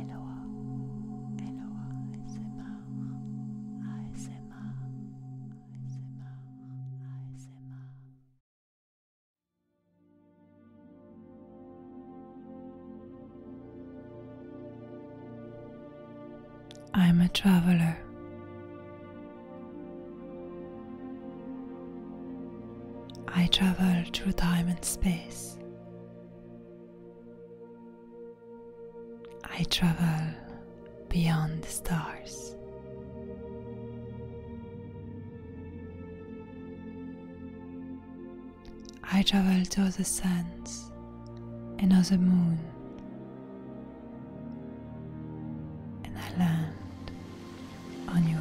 Eloa, Eloa ASMR, ASMR, ASMR, ASMR. I'm a traveler. I travel through time and space. I travel beyond the stars. I travel to other suns and other moon, and I land on yours.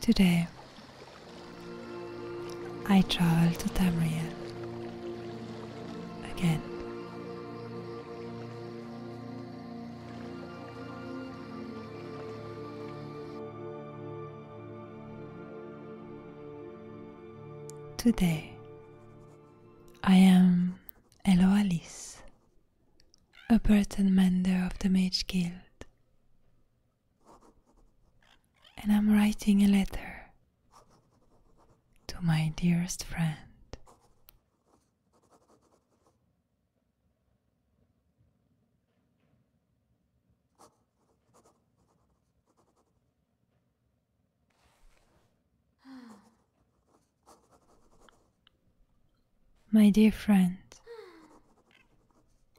Today, I travel to Tamriel again. Today, I am Elo Alice, a Burton Mender of the Mage Guild, and I'm writing a letter to my dearest friend. My dear friend,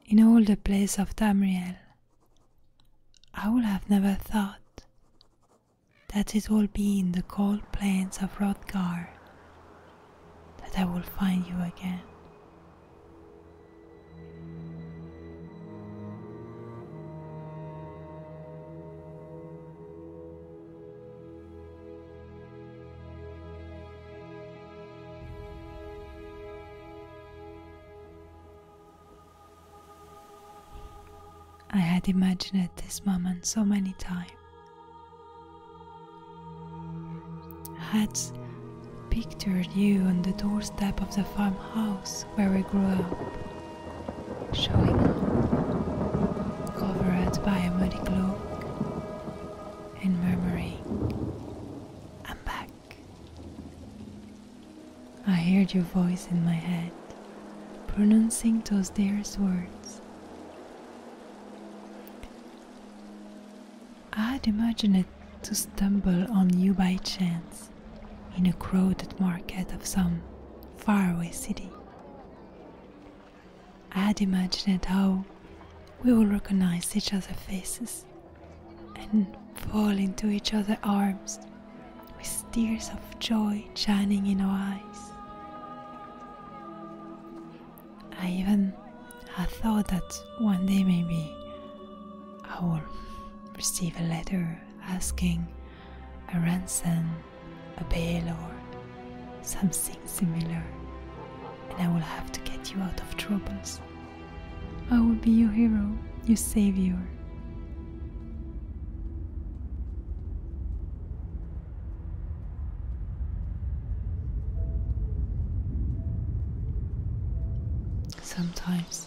in all the place of Tamriel, I would have never thought that it will be in the cold plains of Hrothgar that I will find you again. I had imagined this moment so many times. Had pictured you on the doorstep of the farmhouse where we grew up, showing up, covered by a muddy cloak, and murmuring, I'm back. I heard your voice in my head, pronouncing those dearest words i had imagined to stumble on you by chance in a crowded market of some faraway city. i had imagined how we would recognize each other's faces and fall into each other's arms with tears of joy shining in our eyes. I even thought that one day maybe I will receive a letter asking a ransom, a bail, or something similar, and I will have to get you out of troubles. I will be your hero, your savior. Sometimes,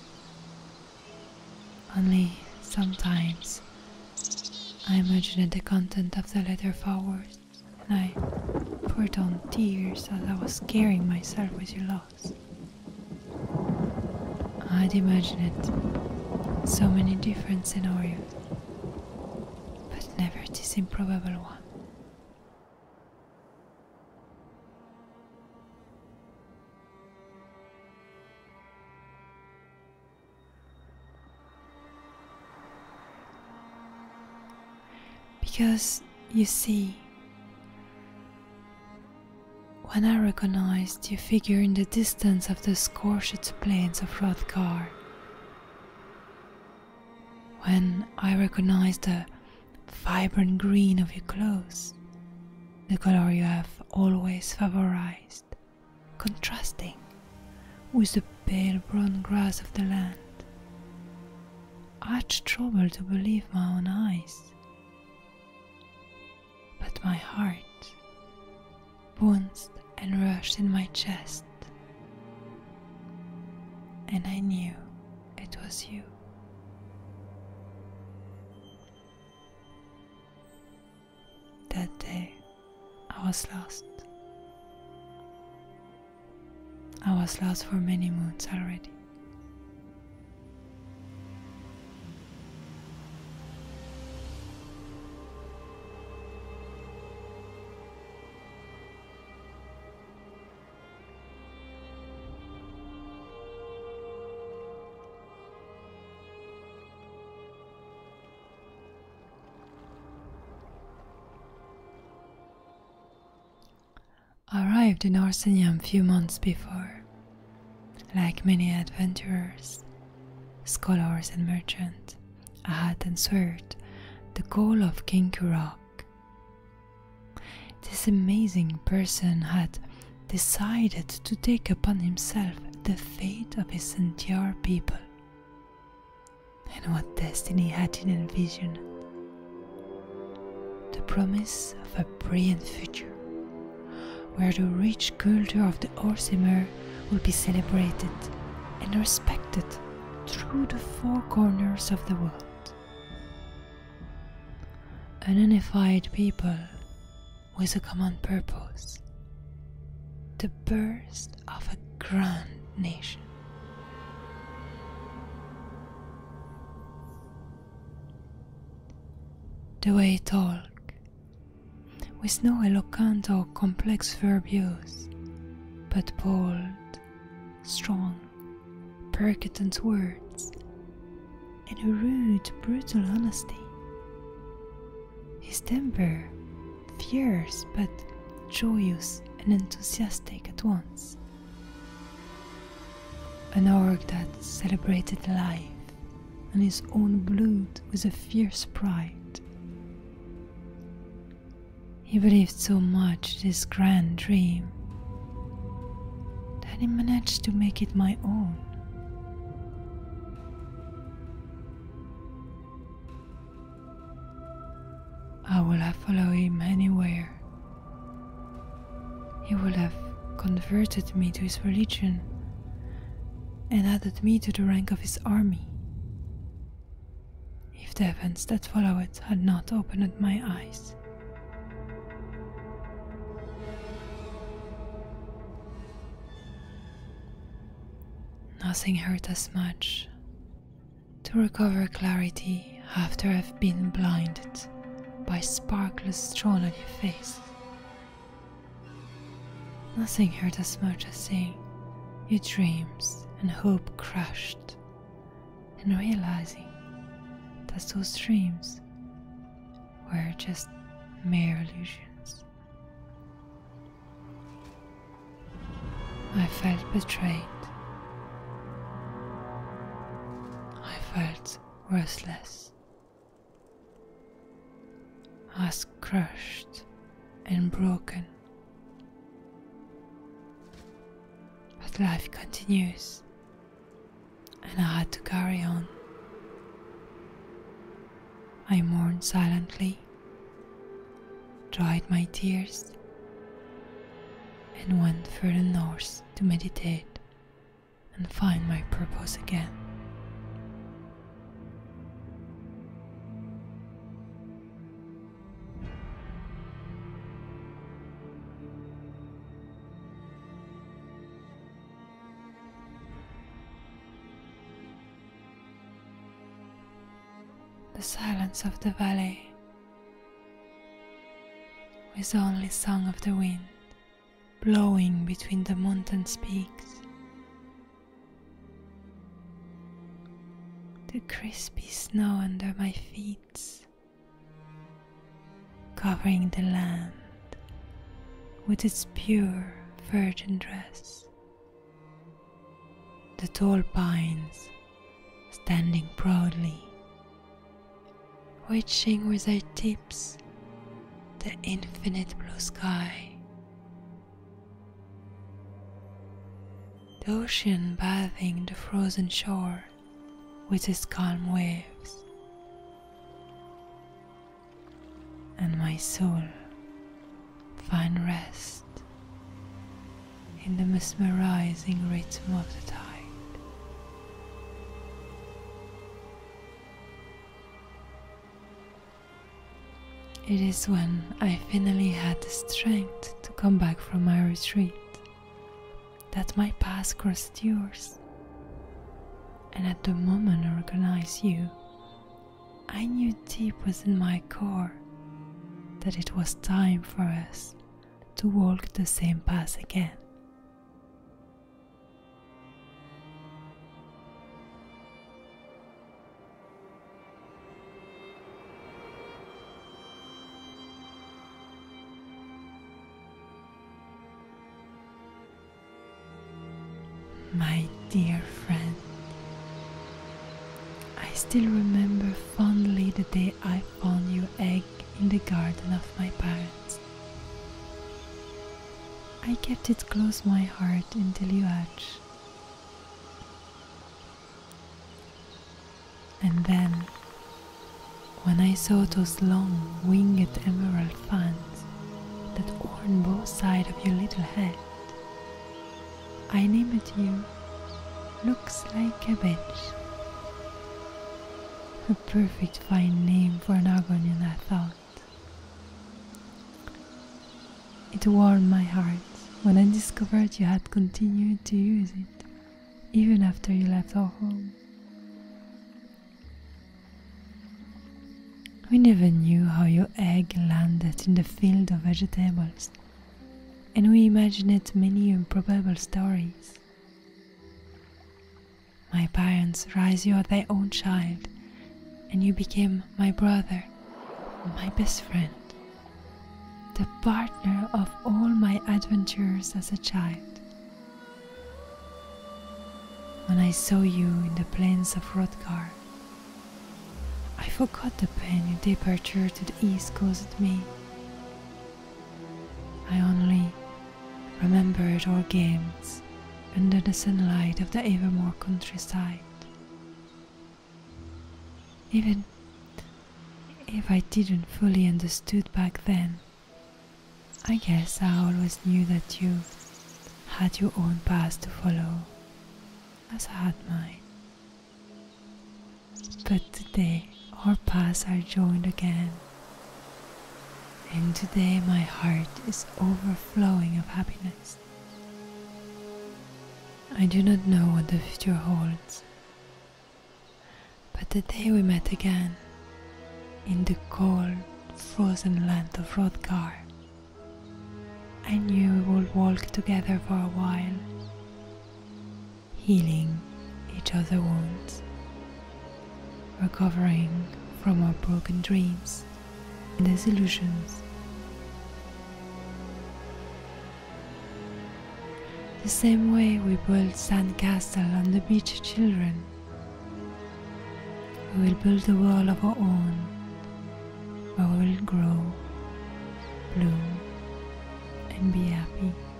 only sometimes, I imagined the content of the letter forward and I poured on tears as I was scaring myself with your loss. I'd imagined so many different scenarios but never this improbable one. Because you see, when I recognized you figure in the distance of the scorched plains of Hrothgar. When I recognize the vibrant green of your clothes, the color you have always favorized, contrasting with the pale brown grass of the land, I had trouble to believe my own eyes but my heart bounced and rushed in my chest, and I knew it was you. That day I was lost. I was lost for many moons already. Arrived in Arsenium few months before. Like many adventurers, scholars, and merchants, Ahat answered the call of King Kurak. This amazing person had decided to take upon himself the fate of his entire people. And what destiny had in vision. The promise of a brilliant future where the rich culture of the Orsimer will be celebrated and respected through the four corners of the world. An unified people with a common purpose, the birth of a grand nation. The way it all with no eloquent or complex verb but bold, strong, percutant words, and a rude, brutal honesty. His temper, fierce but joyous and enthusiastic at once. An org that celebrated life and his own blood with a fierce pride. He believed so much in this grand dream that he managed to make it my own. I will follow him anywhere he would have converted me to his religion and added me to the rank of his army. If the events that followed had not opened my eyes. Nothing hurt as much to recover clarity after I've been blinded by sparkless drawn on your face Nothing hurt as much as seeing your dreams and hope crushed, and realizing that those dreams were just mere illusions. I felt betrayed. I felt worthless. Was crushed and broken. But life continues, and I had to carry on. I mourned silently, dried my tears, and went further north to meditate and find my purpose again. The silence of the valley with only song of the wind blowing between the mountain's peaks. The crispy snow under my feet, covering the land with its pure virgin dress. The tall pines standing proudly Watching with her tips the infinite blue sky. The ocean bathing the frozen shore with its calm waves. And my soul find rest in the mesmerizing rhythm of the tide. It is when I finally had the strength to come back from my retreat that my path crossed yours. And at the moment I recognized you, I knew deep within my core that it was time for us to walk the same path again. My dear friend, I still remember fondly the day I found your egg in the garden of my parents. I kept it close my heart until you hatch. And then, when I saw those long winged emerald fans that adorn both sides of your little head, I named you Looks Like a Bitch. A perfect fine name for an agonion, I thought. It warmed my heart when I discovered you had continued to use it, even after you left our home. We never knew how your egg landed in the field of vegetables, and we imagined many improbable stories. My parents raised you as their own child, and you became my brother, my best friend, the partner of all my adventures as a child. When I saw you in the plains of Hrothgar, I forgot the pain your departure to the east caused me I only remembered our games under the sunlight of the Evermore countryside. Even if I didn't fully understood back then, I guess I always knew that you had your own path to follow, as I had mine. But today our paths are joined again. And today my heart is overflowing with happiness. I do not know what the future holds. But the day we met again, in the cold, frozen land of Rodgar, I knew we would walk together for a while healing each other wounds, recovering from our broken dreams and disillusions. The same way we build sandcastle on the beach, children, we will build a world of our own where we will grow, bloom, and be happy.